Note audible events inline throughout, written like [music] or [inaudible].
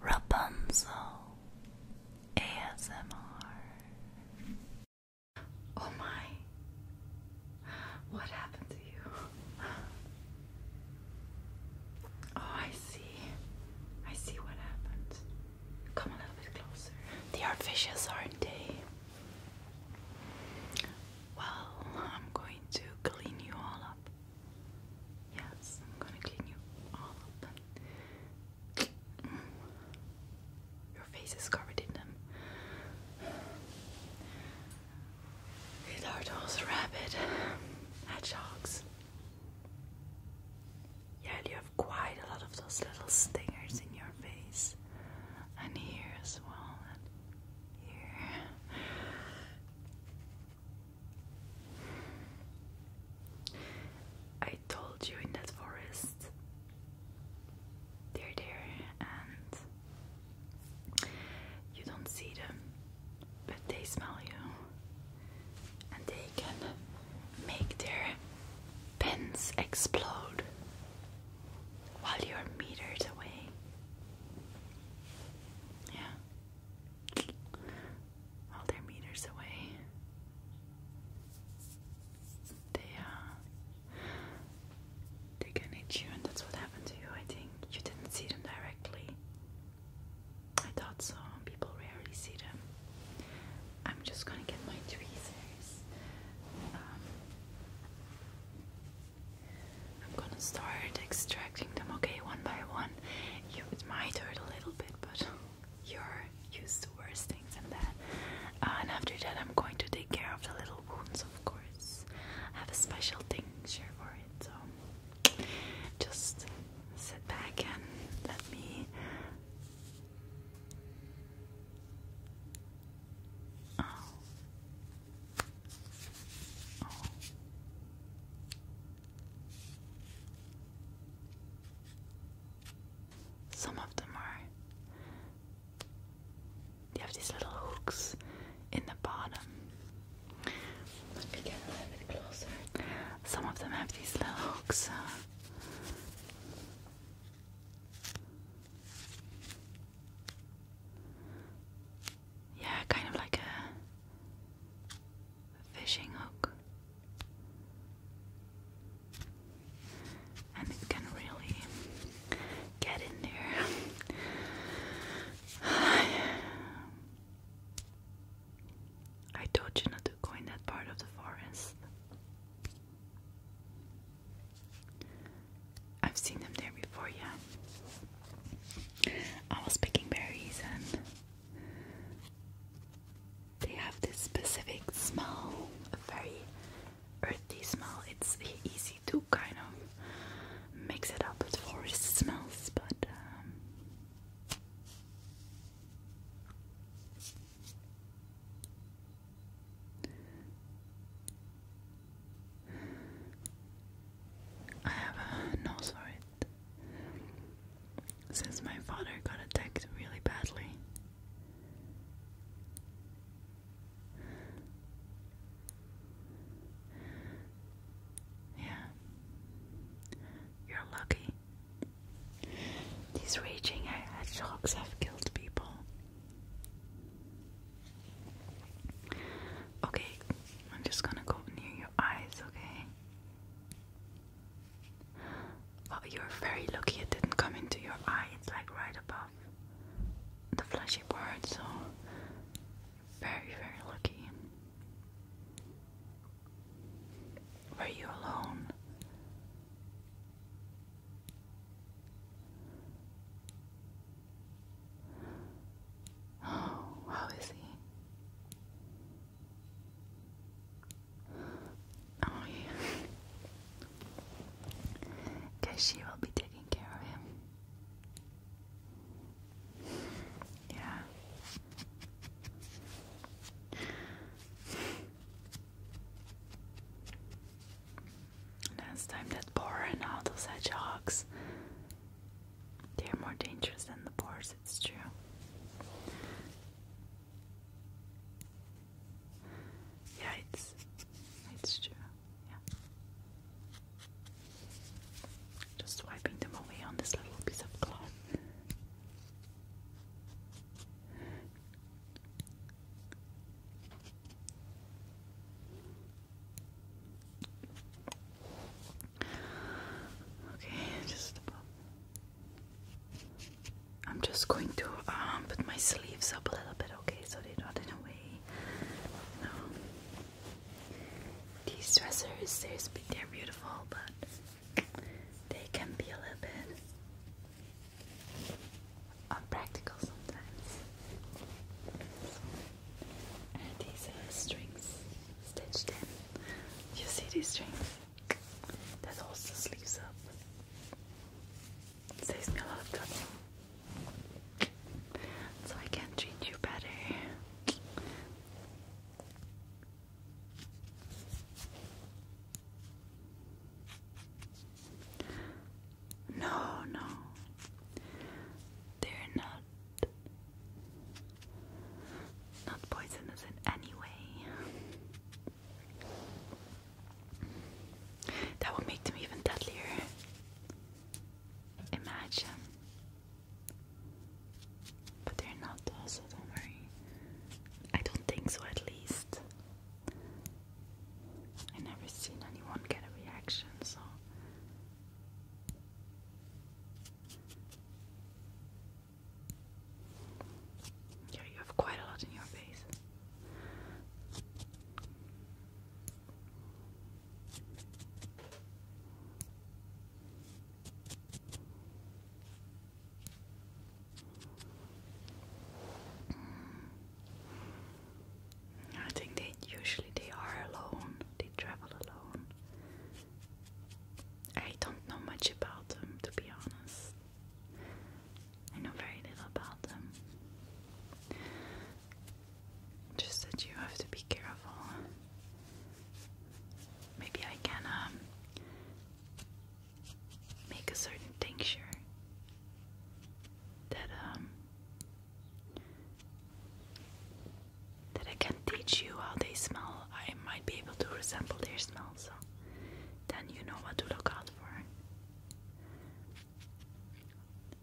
Rapunzel ASMR. Oh my, what happened to you? Oh, I see. I see what happened. Come a little bit closer. They are vicious, aren't they? Well, I'm going to clean you all up. Yes, I'm gonna clean you all of them. Mm. Your face is covered in them. These are those rabid hedgehogs. Yeah, you have quite a lot of those little stingers in your face, and here as well, and here. I told you in that forest. They're there and you don't see them, but they smell you and they can make their pins explode while you're meters away. Yeah all their meters away. They uh they can hit you and that's what happened to you, I think. You didn't see them directly. I thought so. People rarely see them. I'm just gonna get my tweezers. Um, I'm gonna start extracting them, okay, one by one. You, might hurt a little bit, but you're used to worse things than that. Uh, and after that, I'm going to take care of the little wounds, of course. I have a special tincture for it, so just sit back and let me. Oh. oh. Some of them are. They have these little hooks in the bottom. Some of them have these little hooks. Uh, yeah, kind of like a fishing hook. And it can really get in there. [sighs] I told you not to go in that part of the forest. I've seen them there before, yeah. I was picking berries and they have this specific smell, a very earthy smell. It's easy to kind of mix it up with forest smells, but um, I have a nose for it. Since my father got attacked really badly. Yeah. You're lucky. These raging hedgehogs have killed people. Okay, I'm just gonna go near your eyes, okay? Oh, you're very lucky it didn't come into your eye. It's like right above the fleshy part, so very, very lucky. Were you alone? Oh, how is he? Oh, yeah. Because she will be taking care of him. Yeah. Last time that Boren out of hedgehogs they are more dangerous than the boars, it's true. Yeah, it's it's true. Yeah. Just wiping them away on this little piece of cloth. Okay, just above. I'm just going to um, put my sleeves up a little bit, okay, so they're not in a way. No. These dressers, they're, beautiful, but they can be a little bit unpractical sometimes these strings stitched in. You see these strings? That also sleeves up. saves me a lot of trouble. So I can treat you better. No, no they're not not poisonous in any way. That would make them even deadlier. Imagine. But they're not though, don't worry. I don't think so at least. I never seen anyone get a reaction, so yeah, you have quite a lot in your face. I think they usually they are alone. They travel alone. I don't know much about them to be honest. I know very little about them. Just that you have to be careful. Maybe I can um, make a certain tincture that um, that I can teach you how they smell. I might be able to resemble their smell, so then you know what to look out for.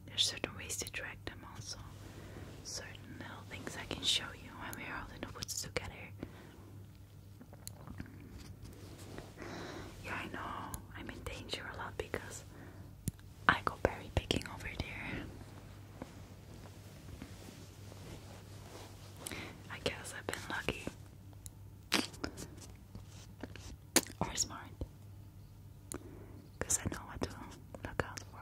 There's certain ways to track them also. Certain little things I can show you when we're out in the woods together. Yeah, I know I'm in danger a lot because I go berry picking over there. I guess I've been lucky. Or smart. Because I know what to look out for.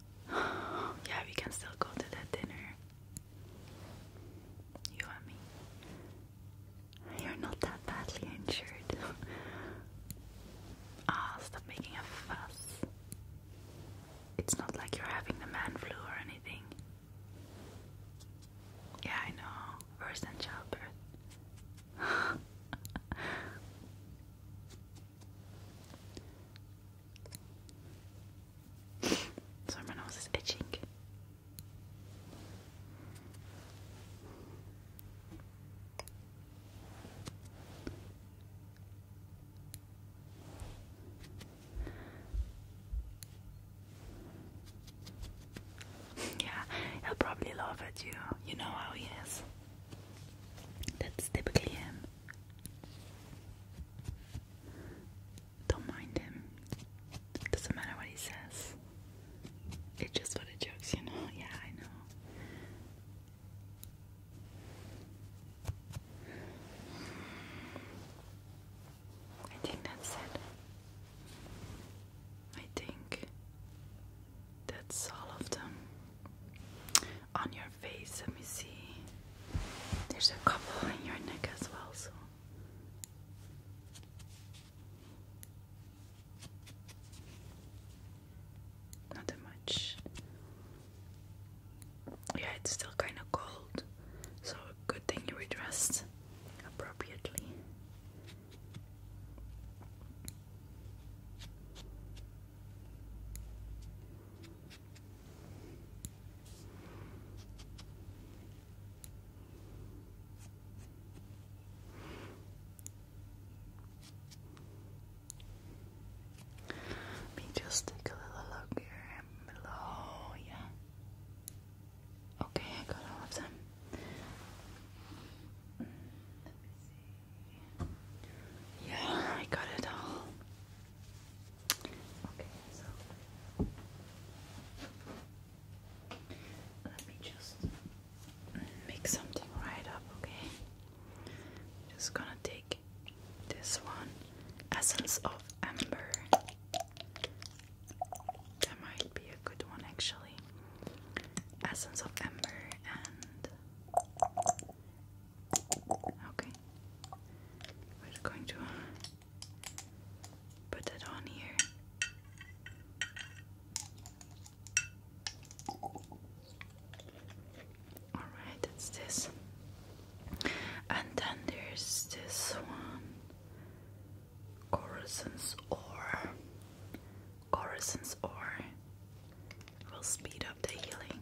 [sighs] yeah, we can still go to that dinner. You and me. You're not that badly injured. [laughs] Ah, stop making a fuss. It's not like you're having the man flu or anything. Yeah, I know. Worse childbirth. [laughs] Sorry, my nose is itching. yeah, he'll probably laugh at you. You know how he is. That's typically him. Don't mind him. doesn't matter what he says. It's just what it jokes, you know? [laughs] Yeah, I know. I think that's it. I think that's all of them on your face. Let me see. There's a couple in your neck as well, so. Not that much. Yeah, it's still kind of cold, so good thing you were dressed appropriately. Let me just take a little look here below, yeah. Okay, I got all of them. Mm, let me see. Yeah, I got it all. Okay, so let me just make something right up, okay? just gonna take this one Essence of Amber. That might be a good one actually. Essence of Amber and Okay. We're going to put it on here. Alright, it's this. And then there's this one. Corazon's Or. Orison's ore will speed up the healing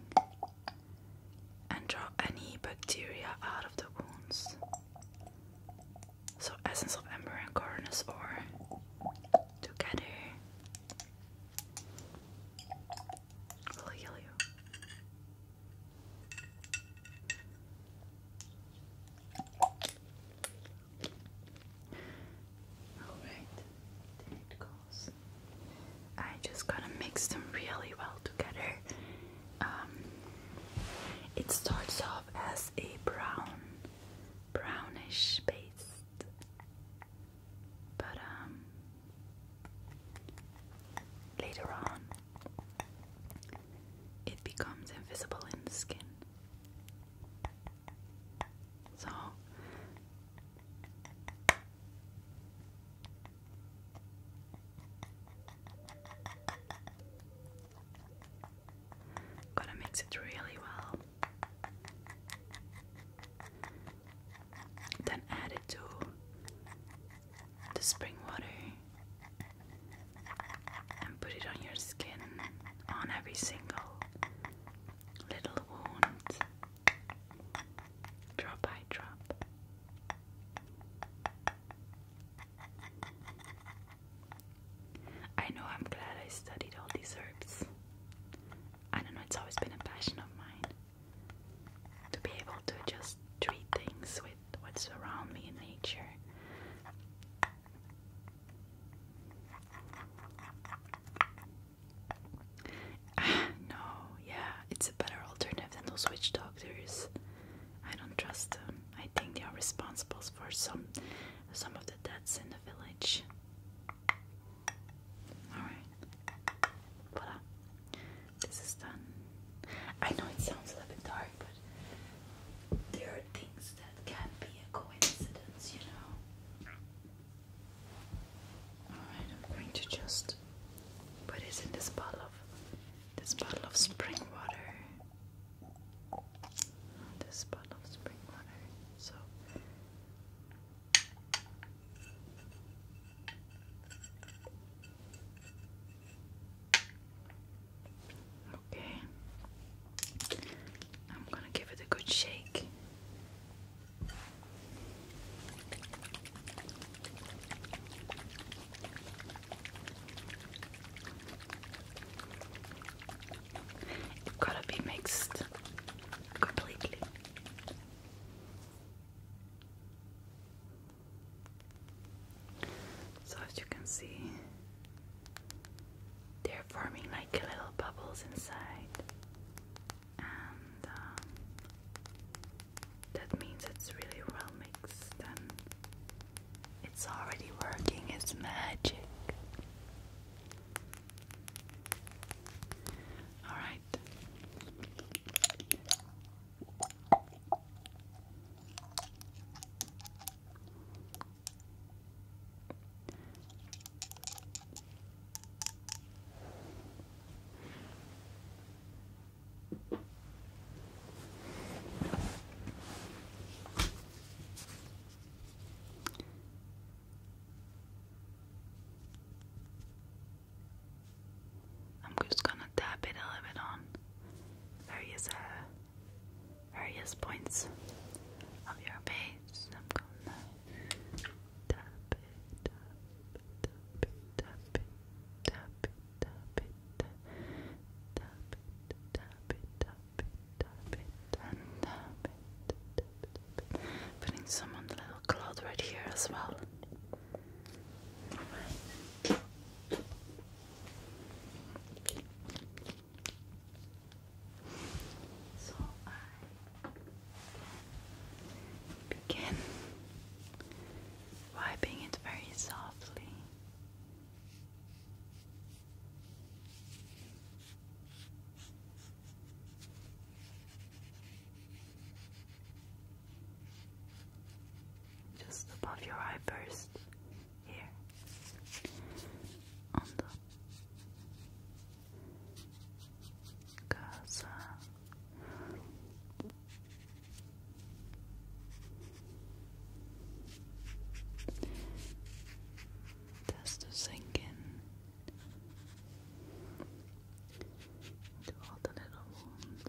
and draw any bacteria out of the wounds. So, essence of ember and coroner's ore together will heal you. All right, I just gotta mix them really well together. Um, it starts off as a brown, brownish paste, but um, later on it becomes invisible in the skin. So Gonna mix it really well. Then add it to the spring water and put it on your skin on every single little wound drop by drop. I know I'm glad I studied all these herbs. I don't know, it's always been a passion of mine to be able to just treat things with what's around me in nature. [sighs] no, yeah, it's a better alternative than those witch doctors. I don't trust them. I think they are responsible for some some of the deaths in the village. Alright. Voila. This is done. I know it sounds a little bit dark, but there are things that can be a coincidence, you know. I'm going to just put it in this bottle of this bottle of spring water. This bottle of spring water. So Okay. I'm gonna give it a good shake. It's gotta be mixed completely. So, as you can see, they're forming like little bubbles inside, and um, that means it's really well mixed and it's already working, it's magic. All right. I'm just gonna tap it a little bit on various uh, various points of your face. Putting some on the little cloud right here as well. So I can begin wiping it very softly. Just above your eye first, here on the casa that's to sink in all the little wounds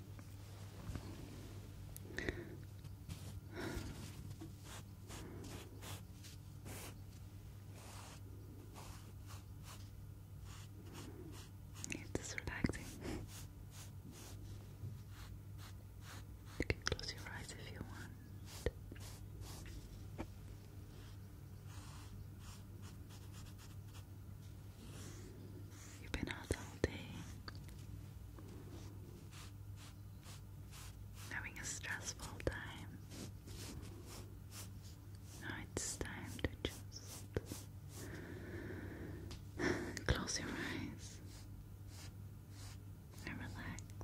It's relaxing. You can close your eyes if you want. You've been out all day. Having a stressful time. Now it's time to just close your eyes and relax.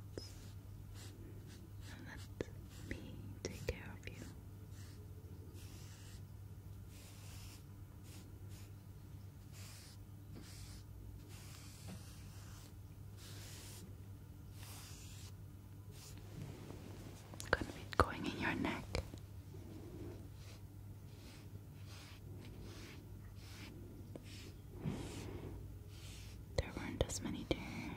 And let me take care of you. Gonna going in your neck. There weren't as many there.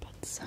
But some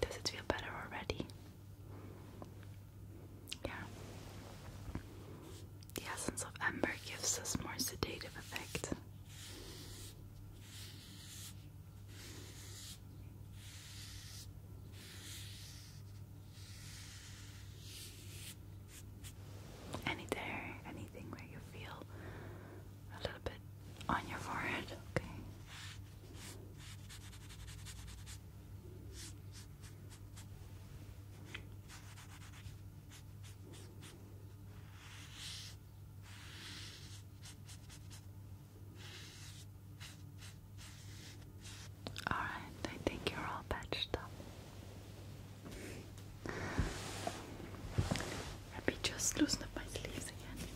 Does it feel better already? Yeah. The essence of amber gives us more sedative effect. Any anything where you feel a little bit on your forehead, okay? All right, I think you're all patched up. Let me just loosen my sleeves again.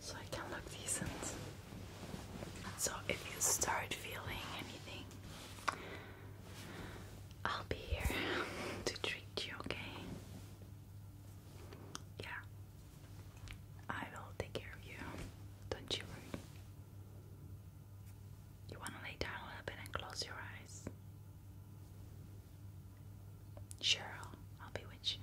So I can look decent. So if you start feeling anything, I'll be here to treat you, okay? Yeah. I will take care of you. Don't you worry. You want to lay down a little bit and close your eyes. Sure, I'll, i you.